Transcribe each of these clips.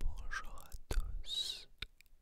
Bonjour à tous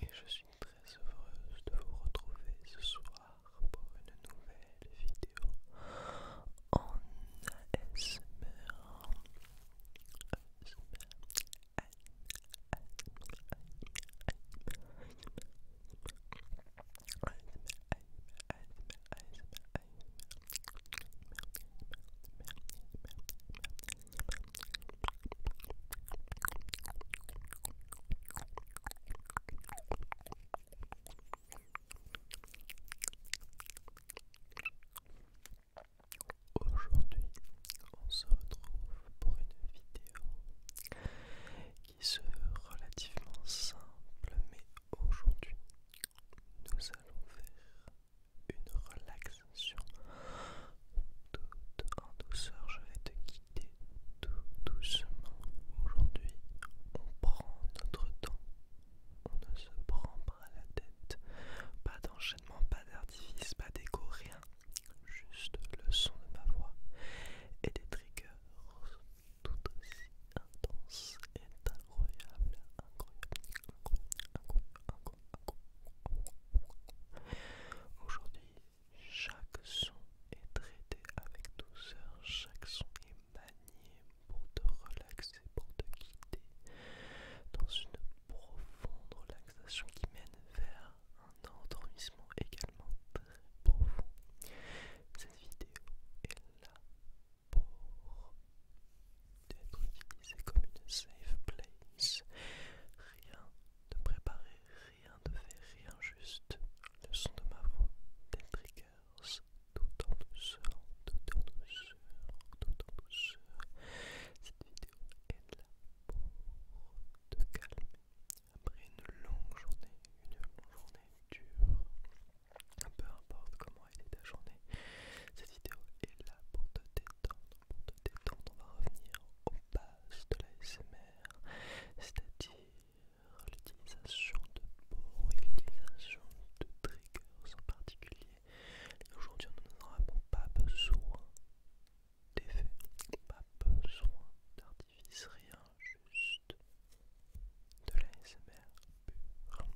et je suis très heureuse de vous retrouver ce soir pour une nouvelle vidéo en ASMR. Aujourd'hui, on se retrouve pour une vidéo qui se relativement simple, mais aujourd'hui, nous allons faire une relaxation toute en douceur. Je vais te tout doucement. Aujourd'hui, on prend notre temps. On ne se prend pas la tête. Pas d'enchaînement, pas d'artifice, pas d'écho, rien. Juste le son de ma voix et des triggers tout aussi intenses et incroyables. incroyable, incroyable. Aujourd'hui, chaque son est traité avec douceur, chaque son est manié pour te relaxer, pour te guider dans une profonde relaxation qui mène vers un endormissement également très profond. Cette vidéo est là pour être utilisée comme une safe place. Rien de préparé, rien de fait rien juste. Le son de ma voix, des triggers, tout en douceur, tout en douceur, tout en douceur. Cette vidéo est là pour te calmer. Après une longue journée, une longue journée dure, peu importe comment elle est ta journée, cette vidéo est là pour te détendre, pour te détendre. On va revenir au bas de l'ASMR, c'est-à-dire l'utilisation de mots, l'utilisation de triggers en particulier. aujourd'hui, on n'aura pas besoin d'effets, pas besoin d'artifice, rien, juste de l'ASMR pur.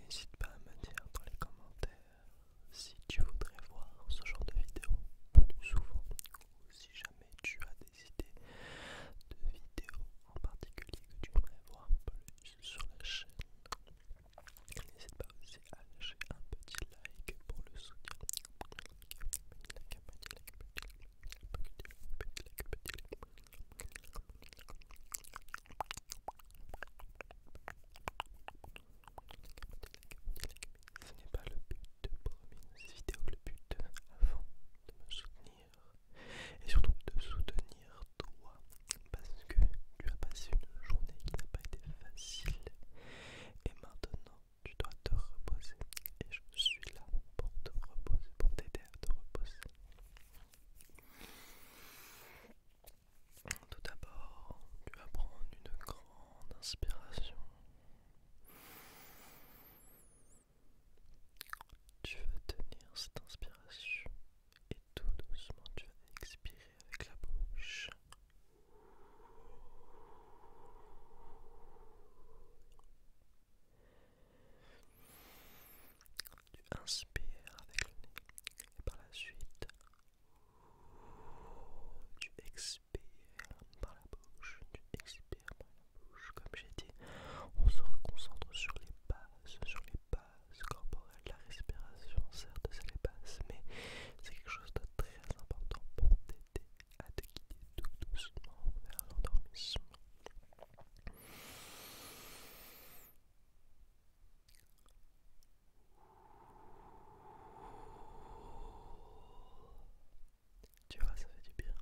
N'hésite pas à me dire dans les commentaires si tu voudrais voir ce genre de vidéo plus souvent ou si jamais tu as des idées de vidéos en particulier que tu voudrais voir plus sur la chaîne. N'hésite pas aussi à lâcher un petit like pour le soutien. Ce n'est pas le but de ma vidéo, le but avant de me soutenir et surtout de soutenir toi parce que tu as passé une journée qui n'a pas été facile et maintenant, tu dois te reposer. Et je suis là pour te reposer, pour t'aider à te reposer. Tout d'abord, tu vas prendre une grande inspiration. Tu vas tenir cette inspiration et tout doucement tu vas expirer avec la bouche. Tu inspires avec le nez et par la suite tu expires par la bouche, tu expires par la bouche. Comme j'ai dit, on se reconcentre sur les bases, sur les bases corporelles. La respiration, certes, c'est les bases, mais c'est quelque chose de très important pour t'aider à te guider tout doucement vers l'endormissement. Tu vois, ça fait du bien.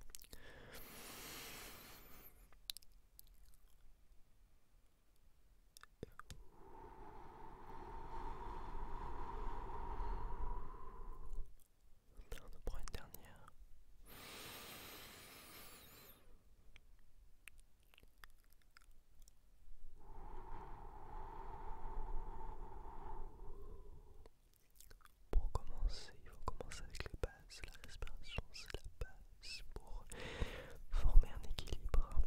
On va prend une dernière. Pour commencer, il faut commencer avec la base, La respiration, c'est la base pour former un équilibre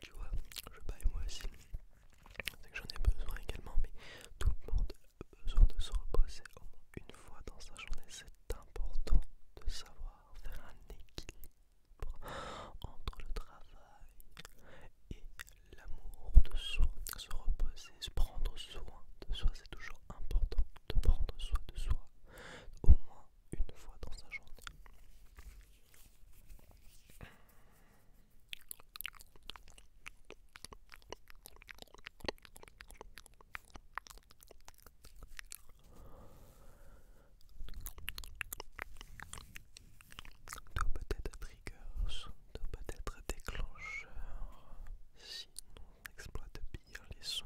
tu vois, je baille moi aussi. j'en ai besoin également, mais tout le monde besoin de se reposer au moins une fois dans sa journée. C'est important de savoir faire un équilibre entre le travail et l'amour de soi. Se reposer, se prendre soin de soi, c'est toujours important de prendre soin de soi au moins une fois dans sa journée. Tout peut-être trigger, tout peut-être déclencheur si on exploite bien les sons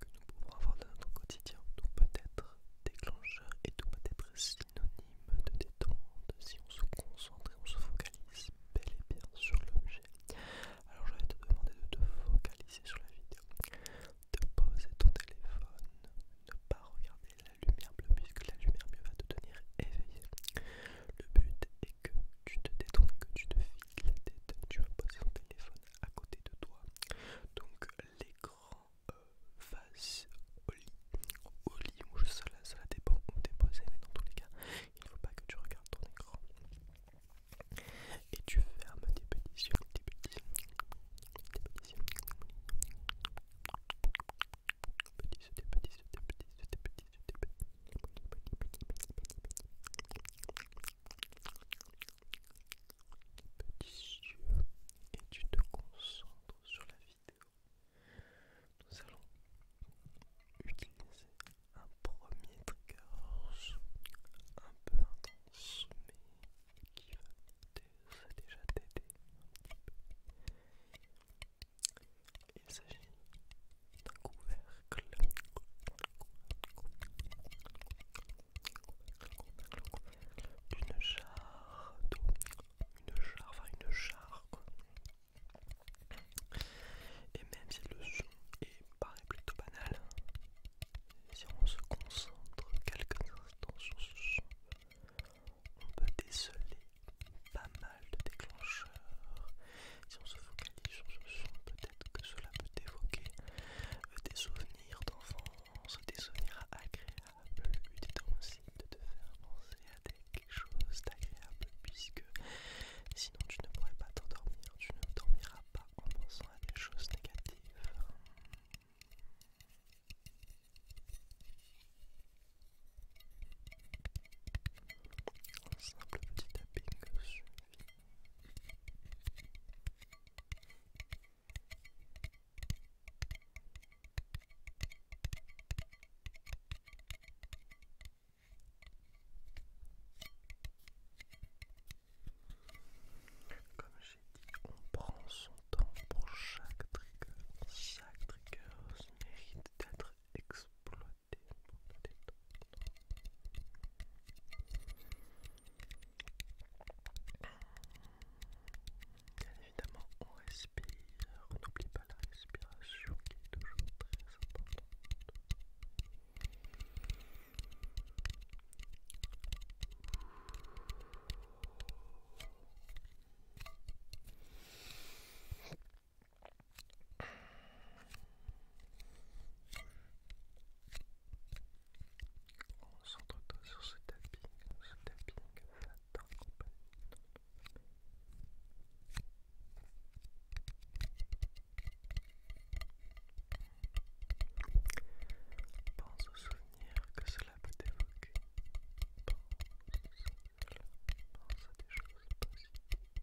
que nous pouvons avoir dans notre quotidien, tout peut-être déclencheur et tout peut-être synonyme de détente si on se concentre et on se focalise bel et bien sur l'objet. Alors je vais te demander de te focaliser sur la vidéo, de poser ton téléphone, ne pas regarder la lumière bleue puisque la lumière bleue va te tenir éveillé. Le but est que tu te détournes que tu te files la tête, tu vas poser ton téléphone à côté de toi. Donc l'écran euh, face au au lit ou je seul, ça dépend où t'es posé, mais dans tous les cas, il ne faut pas que tu regardes ton écran. Et tu fermes tes petits yeux, tes petits yeux, tes petits yeux, et tu te concentres sur la vidéo nous allons utiliser un premier trigger un peu intense mais qui va déjà t'aider un petit peu. Il s'agit d'un couvercle. d'une jarre une jarre, enfin une jarre, quoi. Et même si le son est paraît plutôt banal, si on se concentre quelques instants sur ce son, on peut déceler pas mal de déclencheurs. Si on se focalise sur ce son, peut-être que cela peut évoquer euh, des souvenirs d'enfance, des souvenirs agréables, de faire penser à quelque chose d'agréable puisque sinon tu ne pourrais pas t'endormir, tu ne dormiras pas en pensant à des choses négatives. Un simple petit comme j'ai dit, on prend son temps pour chaque trigger. Chaque trigger mérite d'être exploité évidemment, on respire. On n'oublie pas la respiration qui est toujours très importante. On s'entretient sur ce tapping, ce tapping, ça Pense aux souvenirs que cela peut évoquer. Pense à des choses possibles. Euh,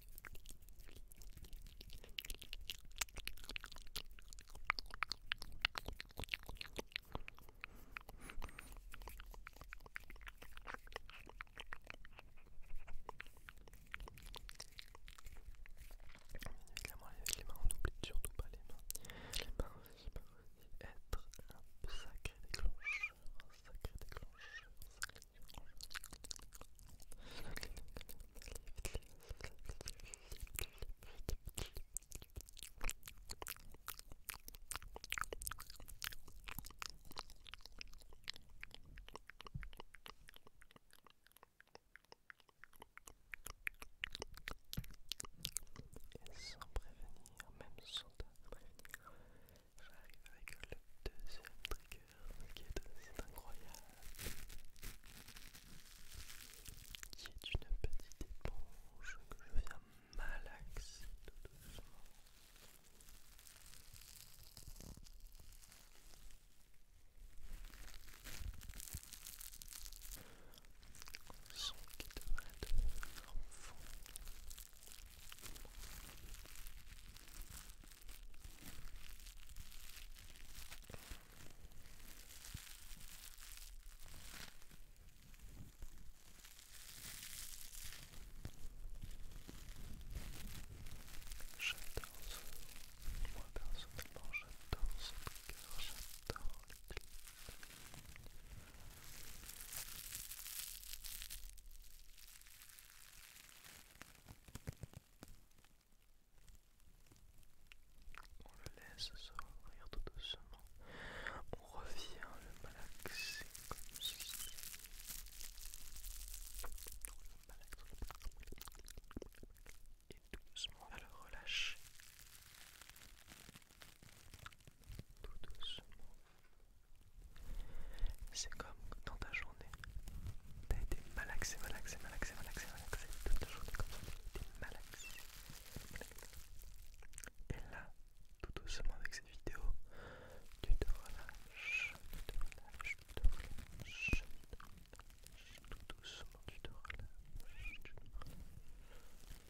les mains, on surtout pas les mains. Les mains, peuvent aussi être un sacré déclencheur, un sacré déclencheur, un et sans prévenir, même sans prévenir, j'arrive avec le deuxième trigger qui est assez incroyable, qui est une petite éponge que je viens malaxer tout doucement. Son qui devrait devenir fond. J'adore ce... Moi personnellement j'adore on le laisse s'ouvrir tout doucement. On revient le malaxer comme ceci. Et doucement, on le relâcher. Tout doucement. C'est comme dans ta jambe. T'as malaxé, malaxé, malaxé, malaxé, Et là, tout doucement avec cette vidéo, tu te relâches, tu te tu te relâches, tout doucement Tu te relâches, tu te relâches, tu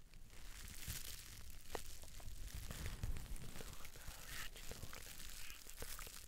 te relâches.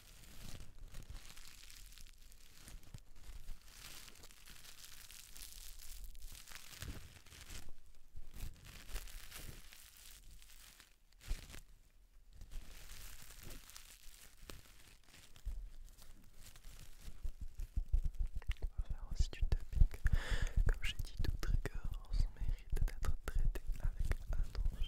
On va faire aussi Comme j'ai dit, tout trigger en son mérite d'être traité avec attention.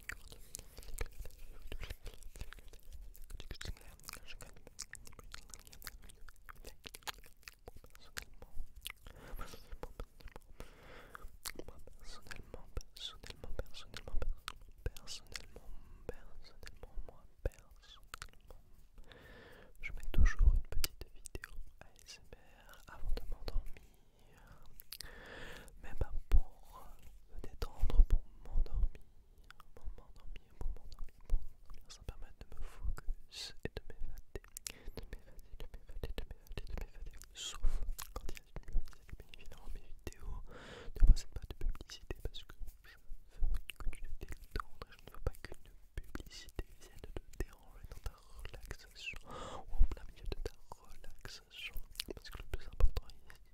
je mets toujours une petite vidéo ASMR avant de m'endormir, même me détendre pour m'endormir, pour m'endormir, pour m'endormir, pour m'endormir, ça me permet de me focus et de m'évader, de m'évader, de m'évader, de m'évader, de m'évader, sauf quand il y a une publicité bien dans mes vidéos ne possèdent pas de publicité parce que je veux que tu te détendre je ne veux pas qu'une publicité vienne de te déranger dans ta relaxation ou en plein milieu de ta relaxation parce que le plus important ici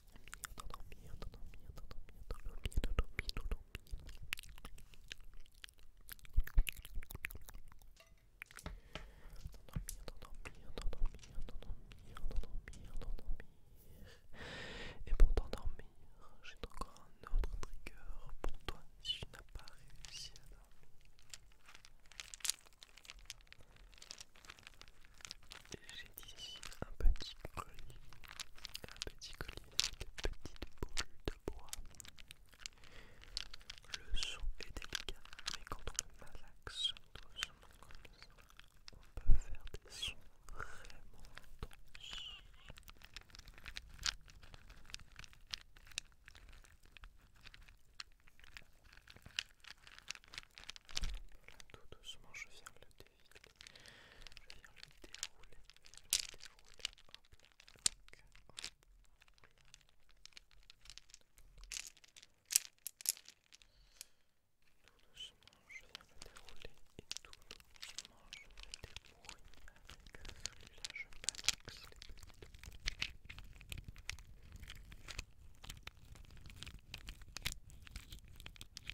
et pour t'endormir, j'ai encore un autre trigger pour toi si tu n'as pas réussi à dormir ici un petit colis, un petit colis avec une petite boule de bois. Le son est délicat, mais quand on malaxe doucement comme ça, on peut faire des sons vraiment intenses. Là, tout doucement, je viens le le je déroule, hop Tout doucement, je viens le dérouler et tout doucement, je vais débrouiller avec celui-là,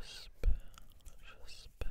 J'espère, j'espère,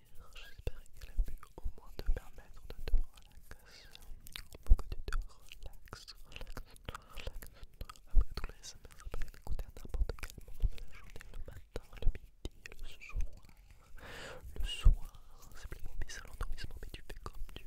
j'espère qu'elle a pu au moins te permettre de te relaxer, te Après tout, les SMS, peut écouter à n'importe quel moment de la journée, le matin, le midi, le soir, le soir, c'est l'endormissement, mais tu fais comme tu